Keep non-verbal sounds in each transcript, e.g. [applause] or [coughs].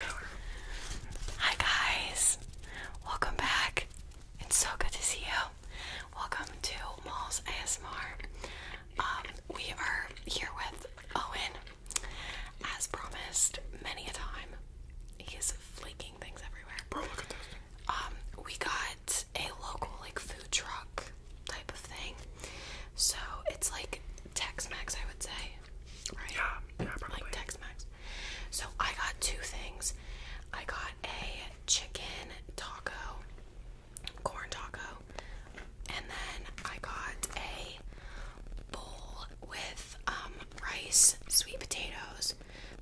Hi guys, welcome back. It's so good to see you. Welcome to Malls ASMR. Um, we are here with Owen. As promised, many a time, he's flaking things everywhere. Bro, look at this. Um, we got a local like food truck type of thing. So it's like Tex Mex, I would say. Yeah, Like Tex Mex. So I got two things. I got a chicken taco, corn taco, and then I got a bowl with um, rice, sweet potatoes.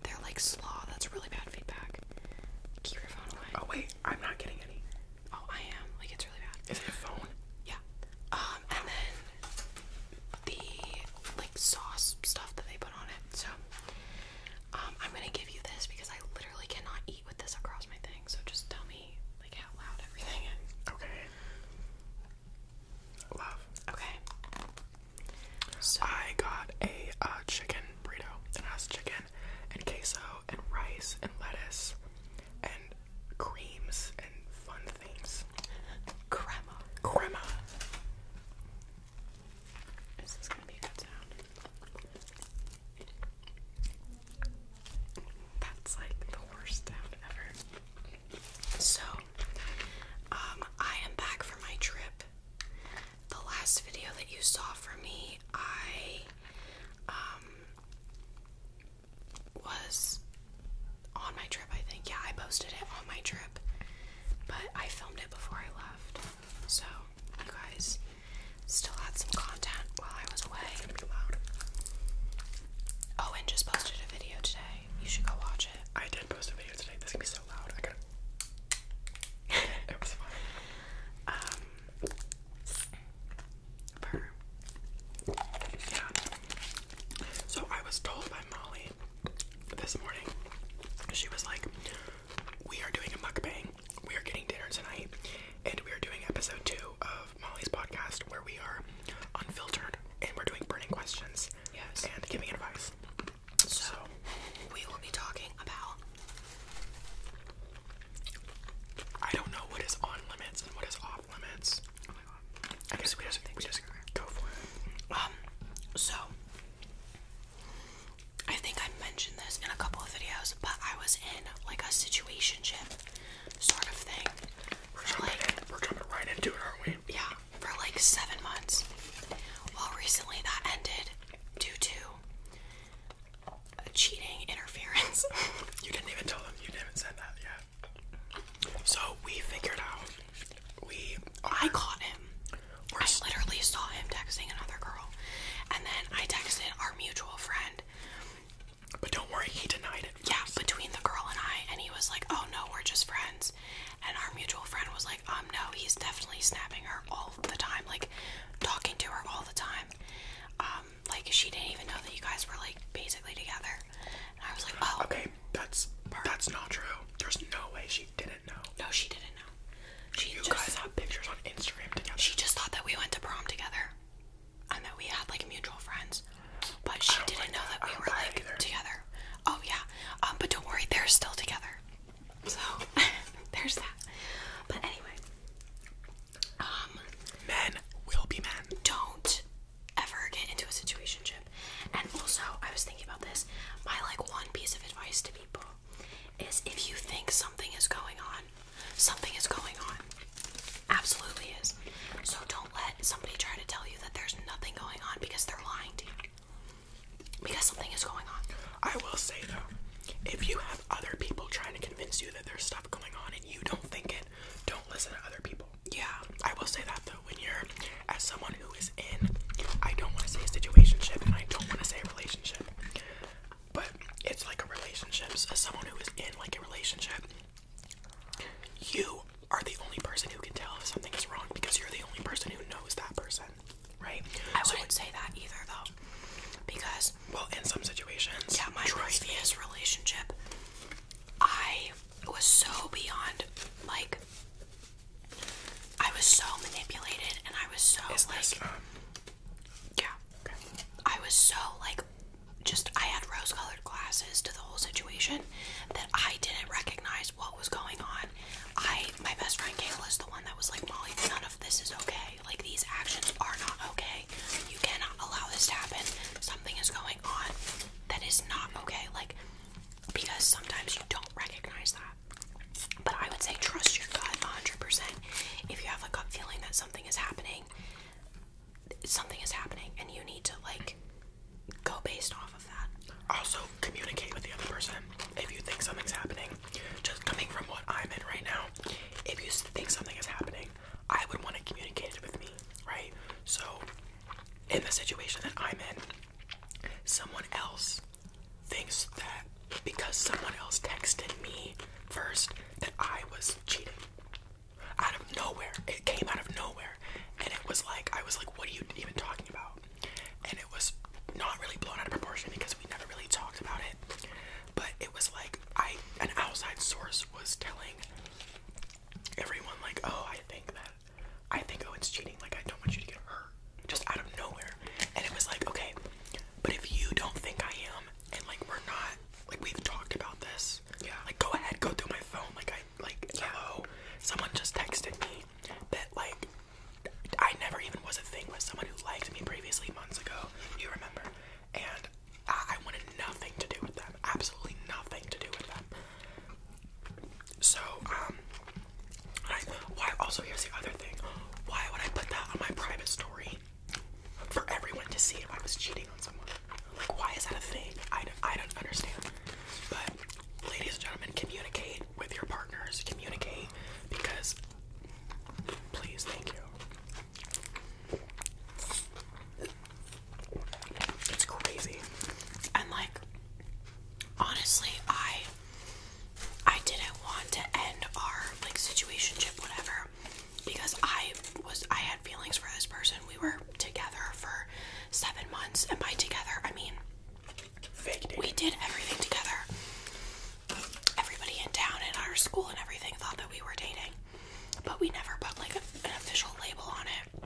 They're like slaw. That's really bad feedback. Keep your phone away. Oh wait, I'm not getting any. Oh, I am. Like it's really bad. Is it your phone? Yeah. Um, and then the like sauce stuff that they put on it. So um, I'm gonna give you this because I literally cannot eat with this across my thing. So just tell me like how loud everything [laughs] Okay. Love. Okay. So I got a uh, chicken burrito. that has chicken and queso and rice and lettuce and creams and fun names. Grandma. Grandma. Is gonna be a good sound? That's like the worst sound ever. So, um, I am back from my trip. The last video that you saw from me, I um, was on my trip, I think. Yeah, I posted it on my trip, but I filmed it before I left. So, you guys still had some content while I was away. Oh, and just posted a video today. You should go watch it. I did post a video today. This can be so loud. I gotta. [laughs] it was fun. Um. Per. So I was told by Molly this morning, she was like, We are doing a mukbang. We are getting dinner tonight, and we are doing episode two of Molly's podcast where we are unfiltered and we're doing burning questions and giving advice. so we will be talking about I don't know what is on limits and what is off limits. Oh I guess we just, we just go for it. Um, so I think I mentioned this in a couple of videos, but I was in like a situationship sort of thing. We're jumping, in. We're jumping right into it, aren't we? Yeah, for like seven months. Well, recently that ended due to a cheating interference. [laughs] you didn't even tell them. You didn't even send that. Yeah, so we figured out we I caught him. We're I literally saw him texting another girl, and then I texted our mutual friend. But don't worry, he denied it. Yeah, between the girl and I, and he was like, "Oh no, we're just friends." And our mutual friend was like, "Um, no, he's definitely snapping her all the time, like talking to her all the time. Um, like she didn't even know that you guys were like basically together." I was like, oh. Okay, that's that's not true. There's no way she didn't know. No, she didn't know. She you guys have pictures on Instagram together. She just thought that we went to prom together, and that we had like mutual friends, but she didn't know that, we were like together. Oh yeah. Um, but don't worry, they're still together. So [laughs] there's that. But anyway, um, men will be men. Don't ever get into a situation chip, And also, I was thinking about this. My like one piece of advice to people is if you think something is going on, something is going on. Absolutely is. So don't let somebody try to tell you that there's nothing going on because they're lying to you. Because something is going on. I will say though, if you have other people trying to convince you that there's stuff going on and you don't think it, don't listen to other people yeah, I will say that though, when you're as someone who is in, I don't want to say a situationship and I don't want to say a relationship, but it's like a relationship. as someone who is in like a relationship, you are the only person who can tell if something is wrong because you're the only person who knows that person, right? I wouldn't say that either though, because well, in some situations, yeah, my previous relationship, I it was so beyond like I was so manipulated and I was so like um... Yeah. I was so like just I had rose colored glasses to the whole situation that I didn't recognize what was going on. I my best friend Kayla is the one that was like Molly, none of this is okay. Like these actions are not okay. You cannot allow this to happen. Something is going on that is not okay. Like, because sometimes you don't recognize that. But I would say trust your gut 100%. If you have like a gut feeling that something is happening, something is happening, and you need to, like, go based off of that. Also, communicate with the other person if you think something's happening. Just coming from what I'm in right now, if you think something is happening, I would want to communicate with me, right? So, in the situation that I'm in, someone else thinks that because someone else texted me first that I was cheating. Out of nowhere. It came out of nowhere. And it was like, I was like, what are you even talking about? And it was not really blown out of proportion because we never really talked about it. But it was like, I, an outside source was telling everyone like, oh, I think that I think Owen's oh, cheating. Like, I don't want you to get hurt, just out of nowhere. And it was like, okay, but if you don't think I am, and like we're not, like we've talked about this. Yeah. Like, go ahead, go through my phone. Like, I like, yeah. hello. Someone just texted me that like I never even was a thing with someone who liked me previously months ago. You remember? And I wanted nothing to do with them. Absolutely nothing to do with them. So, um, why? Also, here's the other thing. Why would I put that on my private story for everyone to see if I was cheating on someone? Like, why is that a thing? I I don't understand. But, ladies and gentlemen, communicate with your partners. Communicate because, please, thank you. It's crazy. And like honestly, I I didn't want to end our like situationship whatever because I was I had feelings for this person. We were together for 7 months and by together, I mean we did everything together. Everybody in town in our school and everything thought that we were dating, but we never put like an official label on it.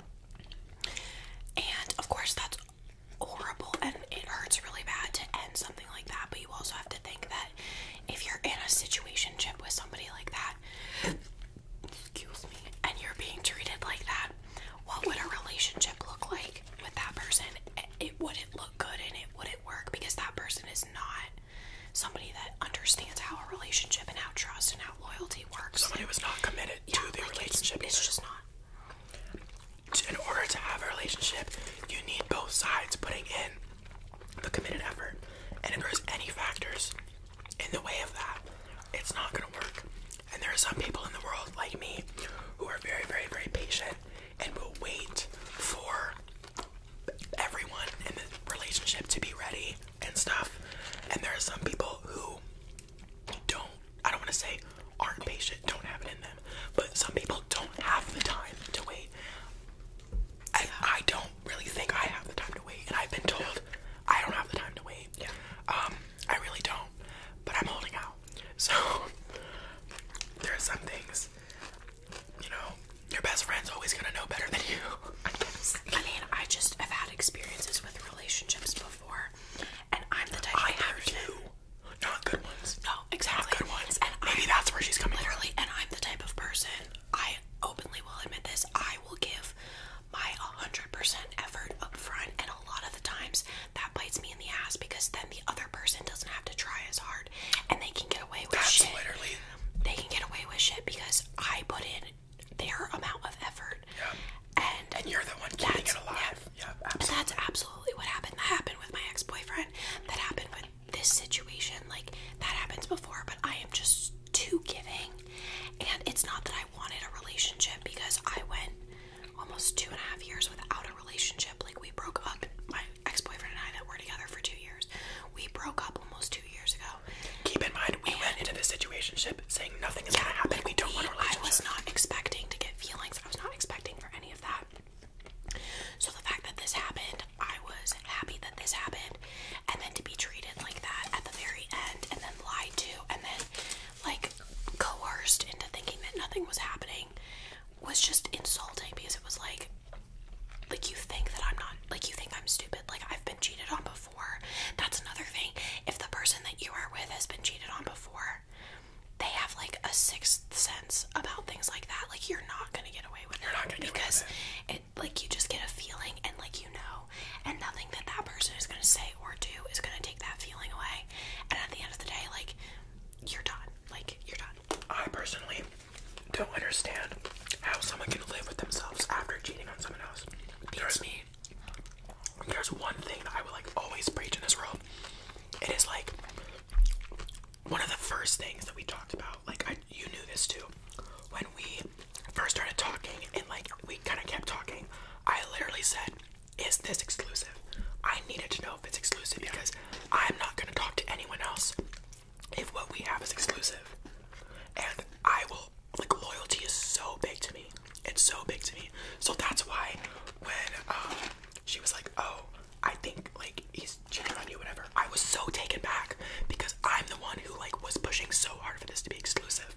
And of course, that's horrible and it hurts really bad to end something like that. But you also have to think that if you're in a situation with somebody like that, excuse me, and you're being treated like that, what would a relationship look like with that person? It wouldn't look good and it wouldn't work because that person is not somebody that understands how a relationship and how trust and loyalty works. Somebody was not committed to the relationship. It's, it's just not. In order to have a relationship, you need both sides putting in the committed effort. And if there's any factors in the way of that, it's not gonna work. And there are some people in the world like me who are very, very, very patient and will wait for everyone in the relationship to be ready and stuff. And there are some people who don't I don't want to say aren't patient, don't have it in them, but some people don't have the time to wait. And I don't really think I have the time to wait, and I've been told I don't have the time to wait. Yeah. Um, I really don't, but I'm holding out. So [laughs] there are some things, you know, your best friend's always gonna know better than you. I mean, I just have had experiences with relationships before, and I'm the type of I have too. Not good ones. No, exactly. Not good ones. And maybe I'm, that's where she's coming. Literally, and I'm the type of person. I openly will admit this. I will give my 100% effort up front, and a lot of the times that bites me in the ass because then the other person doesn't have to try as hard, and they can get away with that's shit. Literally. They can get away with shit because I put in their amount of effort. And, and you're the one keeping it alive. Yeah, yeah absolutely. That's absolutely what happened. That happened with my ex-boyfriend. That happened with this situation. Like that happens before, but I am just too giving. And it's not that I wanted a relationship because I went almost two and a half years without a relationship. Like we broke up. My ex-boyfriend and I that were together for two years. We broke up almost two years ago. Keep in mind, we went into this situationship saying nothing is gonna happen. We don't want a I was not expecting to get feelings. I was not expecting for any of that. So the fact that this happened, I was happy that this happened, and then to be treated like that at the very end, and then lied to, and then like coerced into thinking that nothing was happening, was just insulting because it was like, like you think that I'm not, like you think I'm stupid, like I've been cheated on before. That's another thing. If the person that you are with has been cheated on before, they have like a sixth sense about things like that. Like you're not gonna get away with it because it. like you just get a feeling and like you know, and nothing that that person is gonna say or do is gonna take that feeling away. And at the end of the day, like you're done. Like you're done. I personally don't understand how someone can live with themselves after cheating on someone else. Beats me. There's one thing that I will like always preach in this world. It is like one of the first things that we talked about. Like I, you knew this too. When we first started talking and like we kind of kept talking, I literally said, "Is this exclusive?" I needed to know if it's exclusive because I'm not gonna talk to anyone else if what we have is exclusive. And I will like loyalty is so big to me. It's so big to me. So that's why when um she was like, "Oh, I think like he's cheating on you, whatever," I was so taken back because I'm the one who like was pushing so hard for this to be exclusive,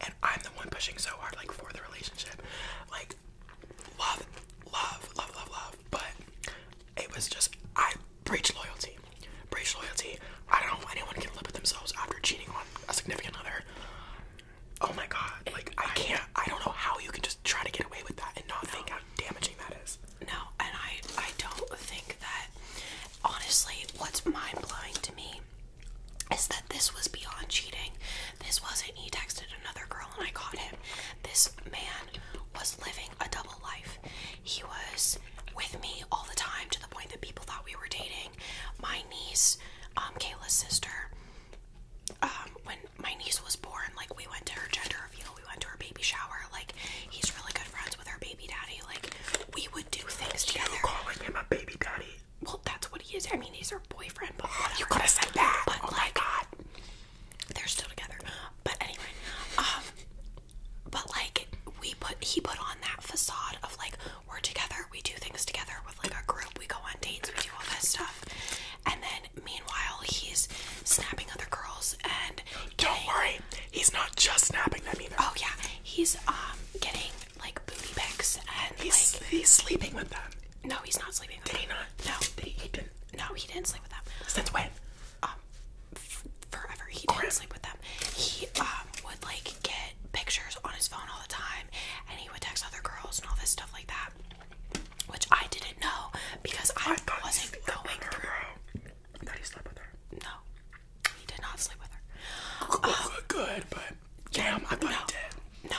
and I'm the one pushing so hard like for the relationship, like love, love, love, love, love. But it was just I breach loyalty, breach loyalty. I don't know if anyone can live with themselves after cheating on a significant other. Oh my god, like I can't I don't know how you can just try to get away with that and not think how damaging that is. No, and I I don't think that honestly what's mind blowing to me is that this was beyond cheating. This wasn't he texted another girl and I caught him. This man was living a double life. He was with me all the time to the point that people thought we were dating. My niece, um, Kayla's sister, um, when my niece was born, like we went to her gender reveal, we went to her baby shower. Like he's really good friends with her baby daddy. Like we would do things together. You calling him a baby daddy? Well, that's what he is. I mean, he's her boyfriend, You could have said that. But oh like, they're still together. But anyway, um, but like we put he put on that facade of like we're together, we do things together with like our group, we go on dates, we do all this stuff. And then meanwhile he's snapping other girls and Don't worry, he's not just snapping them either. Oh yeah. He's um getting like booty pics and he's, like, he's sleeping with them. No, he's not sleeping with Did them. he not? No. Did he, No, he didn't sleep with them. Since when? Um forever. He didn't sleep with them. He um would like get pictures on his phone all the time and he would text other girls and all this stuff like that. Which I didn't know because I, I wasn't going through. Bro. he slept with her? No, he did not sleep with her. Oh, good, good but damn, I thought he did. No,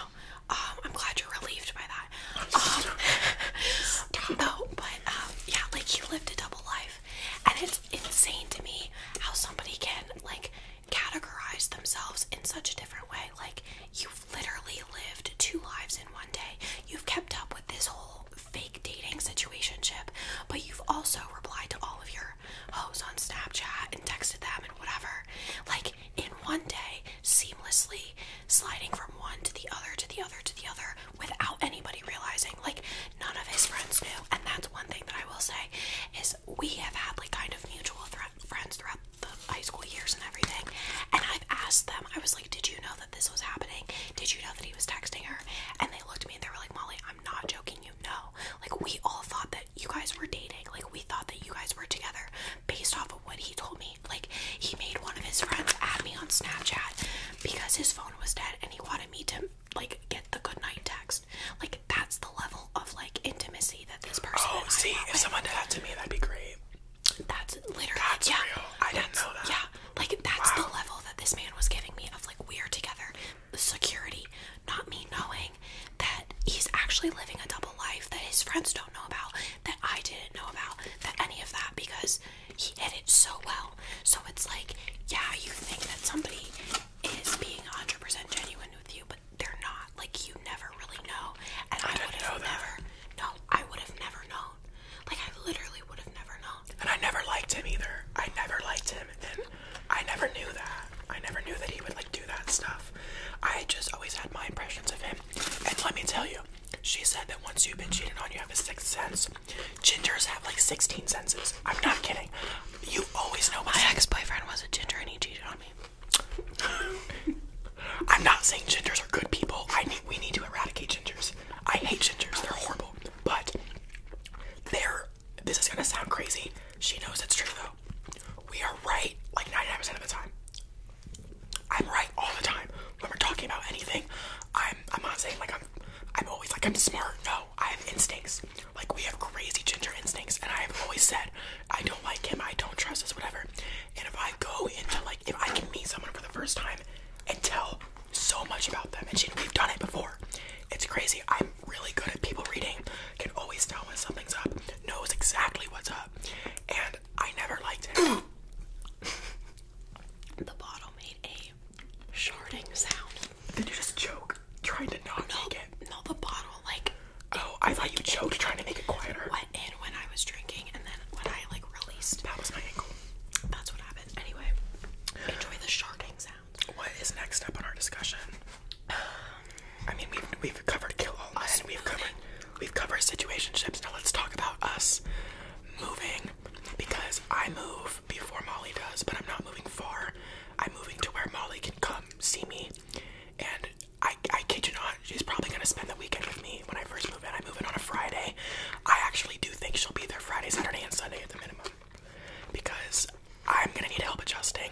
um, I'm glad you're relieved by that. Um, [laughs] no, but yeah, like he lived a double life, and it's insane to me how somebody can like categorize themselves in such a different way. Like you've literally lived two lives in one day. You've kept up with this whole fake dating situationship, but you've also replied to all of your hoes on Snapchat and texted them and whatever. Like in one day, seamlessly sliding from one to the other to the other to the other without anybody realizing. Like none of his friends knew. And that's one thing that I will say is we have had like kind of mutual friends throughout the high school years and everything. And I've asked them, I was like, Did you know that this was happening? Did you know that he was texting her? And they looked at me and they were like, Molly, I'm not joking, you know. Like, we all thought that you guys were dating. Like, we thought that you guys were together based off of what he told me. Like, he made one of his friends add me on Snapchat because his phone was dead and he wanted me to, like, get the good night text like that's the level of like intimacy that this person. Oh, see, if someone did that to me, that'd be great. That's literally that's yeah, real. I didn't know that. Yeah, like that's the level that this man was giving me of like we are together. The security, not me knowing that he's actually living a double life that his friends don't know about, that I didn't know about, that any of that because he did it so well. So it's like, yeah, you think that somebody is being 100% genuine with you, but they're not. Like, you never really know. And I, I would have never. No, I would have never known. Like, I literally would have never known. And I never liked him either. I never liked him. And I never knew that. I never knew that he would, like, do that stuff. I just always had my impressions of him. And let me tell you, she said that once you've been cheated on, you have a sixth sense. Gingers have like 16 senses. I'm not kidding. You always know my ex boyfriend was a ginger and he cheated on me. [laughs] I'm not saying gingers are good people. I need we need to eradicate gingers. I hate gingers, they're horrible. But they're this is gonna sound crazy. She knows it's true though. We are right like 99% of the time. I'm right all the time. When we're talking about anything, I'm I'm not saying like I'm I'm always like I'm smart. No, I have instincts. Like we have crazy ginger instincts, and I have always said I don't like him, I don't trust this, whatever. And if I go into like if I can meet someone for the first time and tell so much about them, and she, we've done it before. It's crazy. I'm really good at people reading. Can always tell when something's up. Knows exactly what's up. And I never liked him. [coughs] the bottle made a sharding sound. Did you just choke trying to not make it? No, the bottle, like. Oh, I thought you choked trying to make it quieter. Went in when I was drinking, and then when I like released. That was my ankle. That's what happened. Anyway, enjoy the sharking sound. What is next up in our discussion? I mean, we've we've covered kill all us. and We've covered we've covered situationships. Now let's talk about us moving because I move before Molly does, but I'm not moving far. I'm moving to where Molly can come see me. And I, I kid you not, she's probably gonna spend the weekend with me when I first move in. I move in on a Friday. I actually do think she'll be there Friday, Saturday, and Sunday at the minimum. Because I'm gonna need help adjusting.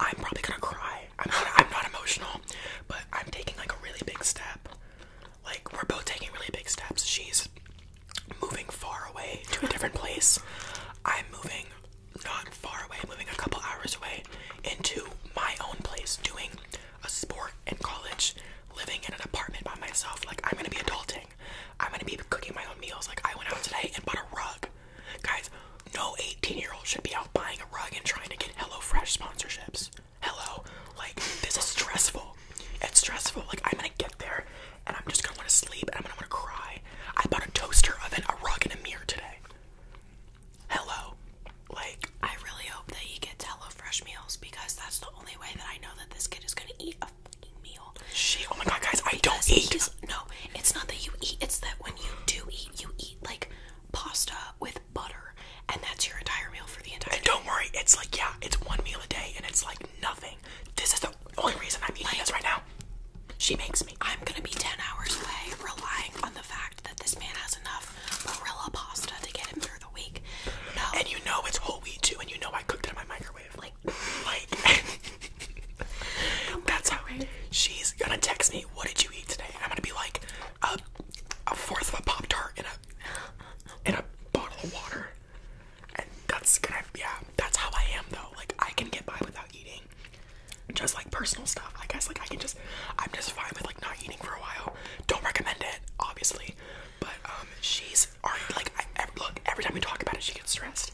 I'm probably gonna cry. I'm not, I'm not emotional, but I'm taking like a really big step. Like, we're both taking really big steps. She's moving far away to a different place. I'm moving not far away, moving a couple hours away into my own place, doing a sport in college, living in an apartment by myself. Like, I'm gonna be adulting. I'm gonna be cooking my own meals. Like, I went out today and bought a rug. Guys, no 18 year old should be out buying a rug and trying to get HelloFresh sponsorships. Hello. Like, this is stressful. It's stressful. Like, I'm gonna get there and I'm just gonna wanna sleep and I'm gonna wanna cry. I bought a toaster oven, a rug, and a mirror today. Hello. Like, I really hope that he gets HelloFresh meals because that's the only way that I know that this kid is gonna eat a fucking meal. She, oh my god, guys, I don't eat. no, it's not that you eat, it's that when you do eat, you eat like pasta with butter, and that's your entire meal for the entire And don't worry, it's like, yeah, it's one meal a day, and it's like nothing. This is the only reason I'm eating this right now. She makes me. I'm gonna be 10 hours away relying on the fact that this man has enough Barilla pasta to get him through the week. No. And you know it's whole wheat too, and you know I cooked it in my microwave. Like, like. [laughs] [laughs] that's how she's gonna text me, What did you eat today? I'm gonna be like, a, fourth of a Pop Tart in a. In a bottle of water that's gonna, yeah, that's how I am though. Like, I can get by without eating. Just like personal stuff, I guess. Like, I can just, I'm just fine with like not eating for a while. Don't recommend it, obviously. But, um, she's already like, I, every, look, every time we talk about it, she gets stressed.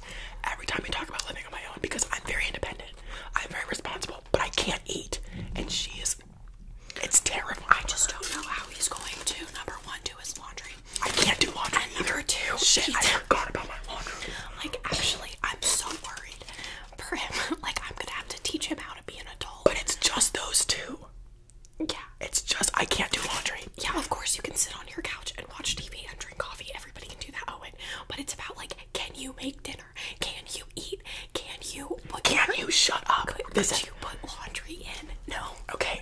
Every time we talk about living on my own, because I'm very independent, I'm very responsible, but I can't eat. And she is, it's terrible. I just don't know how he's going to, number one, do his laundry. I can't do laundry. I never do. Shit, I forgot about my laundry. Like, actually, I'm so worried Prim. [laughs] Like, I'm gonna have to teach him how to be an adult. But it's just those two. Yeah. It's just, I can't do laundry. Yeah, of course, you can sit on your couch and watch TV and drink coffee. Everybody can do that, Owen. But it's about, like, can you make dinner? Can you eat? Can you. Put can you shut up? Could, could you put laundry in? No. Okay.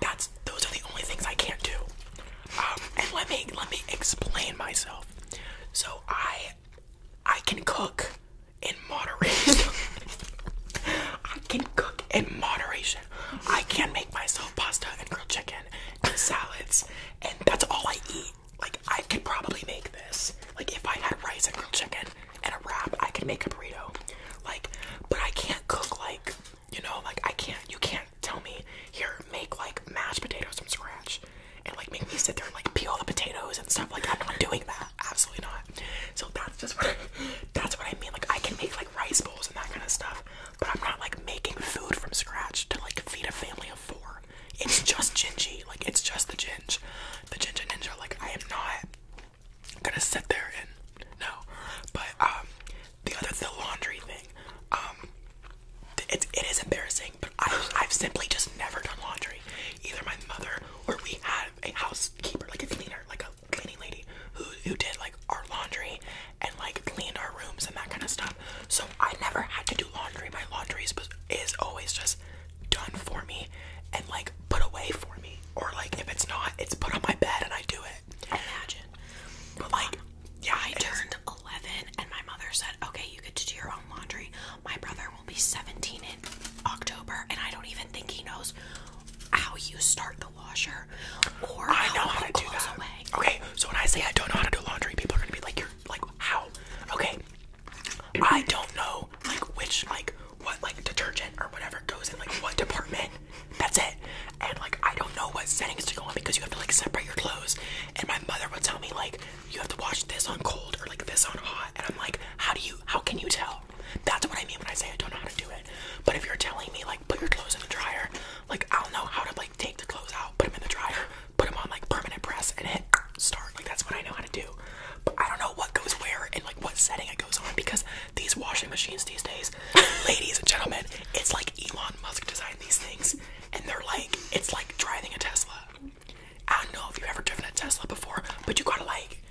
That's those are the only things I can't do. Um, and let me let me explain myself. So I I can cook in moderation. [laughs] I can cook in moderation. I can make myself pasta and grilled chicken and salads, and that's all I eat. Like I could probably make this. Like if I had rice and grilled chicken and a wrap, I could make a burrito. Like, but I can't cook like you know, like I can't you can't tell me here make like mashed potatoes from scratch and like make me sit there and like peel the potatoes and stuff like I'm not doing that. Absolutely not. So that's just what I, that's what I mean. Like I can make like rice bowls and that kind of stuff, but I'm not like making food from scratch to like feed a family of four. It's just gingy. Like it's just the ginge. The ginger ninja. Like I am not gonna sit there and no. But um the other the laundry thing. Um, it it is embarrassing, but I've I've simply just never done laundry. Either my mother or we have a housekeeper, like a cleaner, like a cleaning lady, who who did like our laundry and like cleaned our rooms and that kind of stuff. So I never had to do laundry. My laundry is is always just done for me and like put away for me, or like if it's not, it's put on my bed and I do it. Imagine, but like yeah, I turned 11 and my mother said, okay, you get to do your own laundry. My brother will be 17 in October, and I don't even think he knows how you start the washer or I know how to do that. Away. Okay, so when I say I don't know how to do laundry, people are gonna be like, you're like, how? Okay, I don't know, like, which, like, what, like, detergent or whatever goes in, like, what department. That's it. And like I don't know what setting is to go on because you have to like separate your clothes. And my mother would tell me like you have to watch this on cold or like this on hot. And I'm like, how do you how can you tell? That's what I mean when I say I don't know how to do it. But if you're telling me like put your clothes in the dryer, like I'll know how to like take the clothes out, put them in the dryer, put them on like permanent press and hit start. Like that's what I know how to do. But I don't know what goes where and like what setting it goes on because these washing machines these days, [laughs] ladies and gentlemen, it's like Elon Musk design these things, and they're like, it's like driving a Tesla. I don't know if you've ever driven a Tesla before, but you gotta like,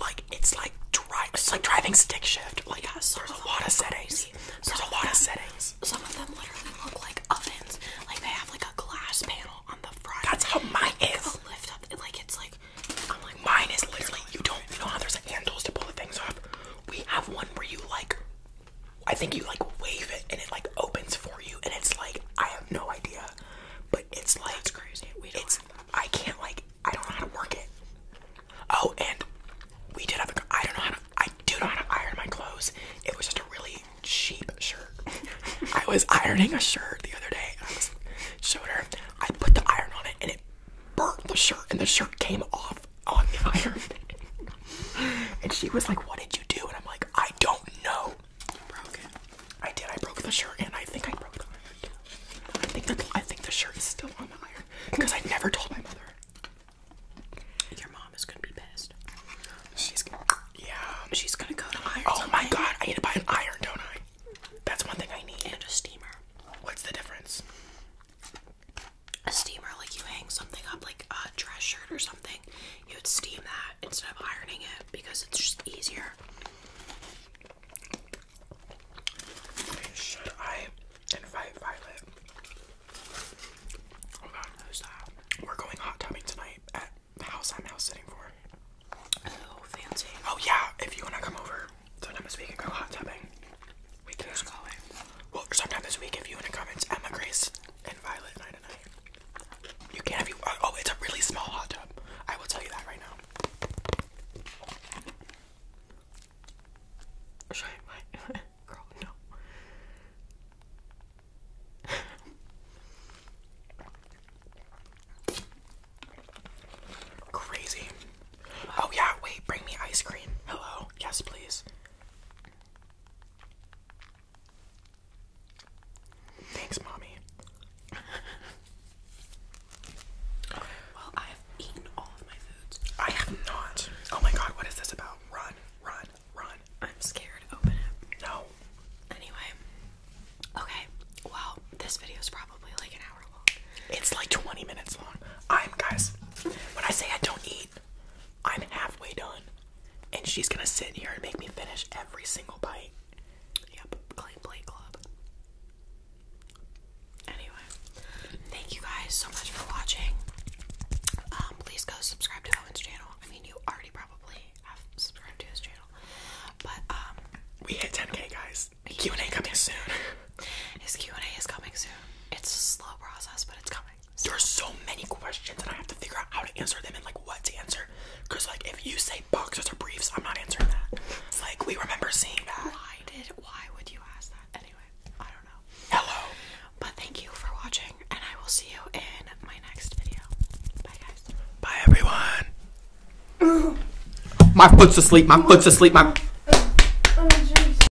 like it's like drive, it's like driving stick shift. Like yeah, there's a lot of settings. There's a lot of settings. Some of them literally look like ovens. Like they have like a glass panel on the front. That's how mine like, is. Lift up, like it's like, I'm like mine is literally. You don't, you know how there's like handles to pull the things off. We have one where you like I think you like wave it and it like opens for you, and it's like I have no idea, but it's like That's crazy. We it's I can't like I don't know how to work it. Oh, and we did have a I don't know how to I do know iron my clothes. It was just a really cheap shirt. [laughs] I was ironing a shirt the other day. I was showed her. I put the iron on it and it burnt the shirt, and the shirt came off on the [laughs] iron. and she was like, What did you do? And I'm like, I don't know. I did. I broke the shirt and I think I broke the iron too. I think, the, I think the shirt is still on the iron because I never told my mother. Your mom is going to be pissed. She's gonna, yeah. She's gonna go to iron. Oh my god, I need to buy an iron, don't I? That's one thing I need. And a steamer. What's the difference? a steamer, like you hang something up, like a dress shirt or something, you would steam that instead of ironing it because it's just easier. Should I invite Violet? Oh god, who's that? We're going hot tubbing tonight at the house I'm now sitting for. Oh, fancy. Oh yeah, if you wanna come over, so we can go hot tubbing. Wait, who's calling? Well, sometime this week, if you in the comments, Emma Grace and Violet and I tonight. You can if you. Uh, oh, it's a really small hot tub. I will tell you that right now. Should I? What? [laughs] Girl, no. Crazy. Oh yeah, wait, bring me ice cream. Hello. Yes, please. Thanks, mommy. okay, well, I have eaten all of my foods. I have not. Oh my god, what is this about? Run, run, run. I'm scared. Open it. No. Anyway. Okay. Well, this video is probably like an hour long. It's like 20 minutes long. I'm guys. When I say I don't eat I'm halfway done. And she's gonna sit here and make me finish every single bite. Yep, clean plate club. Anyway, thank you guys so much for watching. Um, please go subscribe to Owen's channel. I mean, you already probably have subscribed to his channel, but um, we hit 10k, guys. Q and A coming soon. His Q and A is coming soon. It's a slow process, but it's coming. There's so many questions, and I have to figure out how to answer them and like what to answer. Cause like if you say boxers or briefs, I'm not answering that. It's like we remember seeing that. Why did? Why would you ask that anyway? I don't know. Hello. But thank you for watching, and I will see you in my next video. Bye guys. Bye everyone. my foot's asleep. My foot's asleep. My. Oh,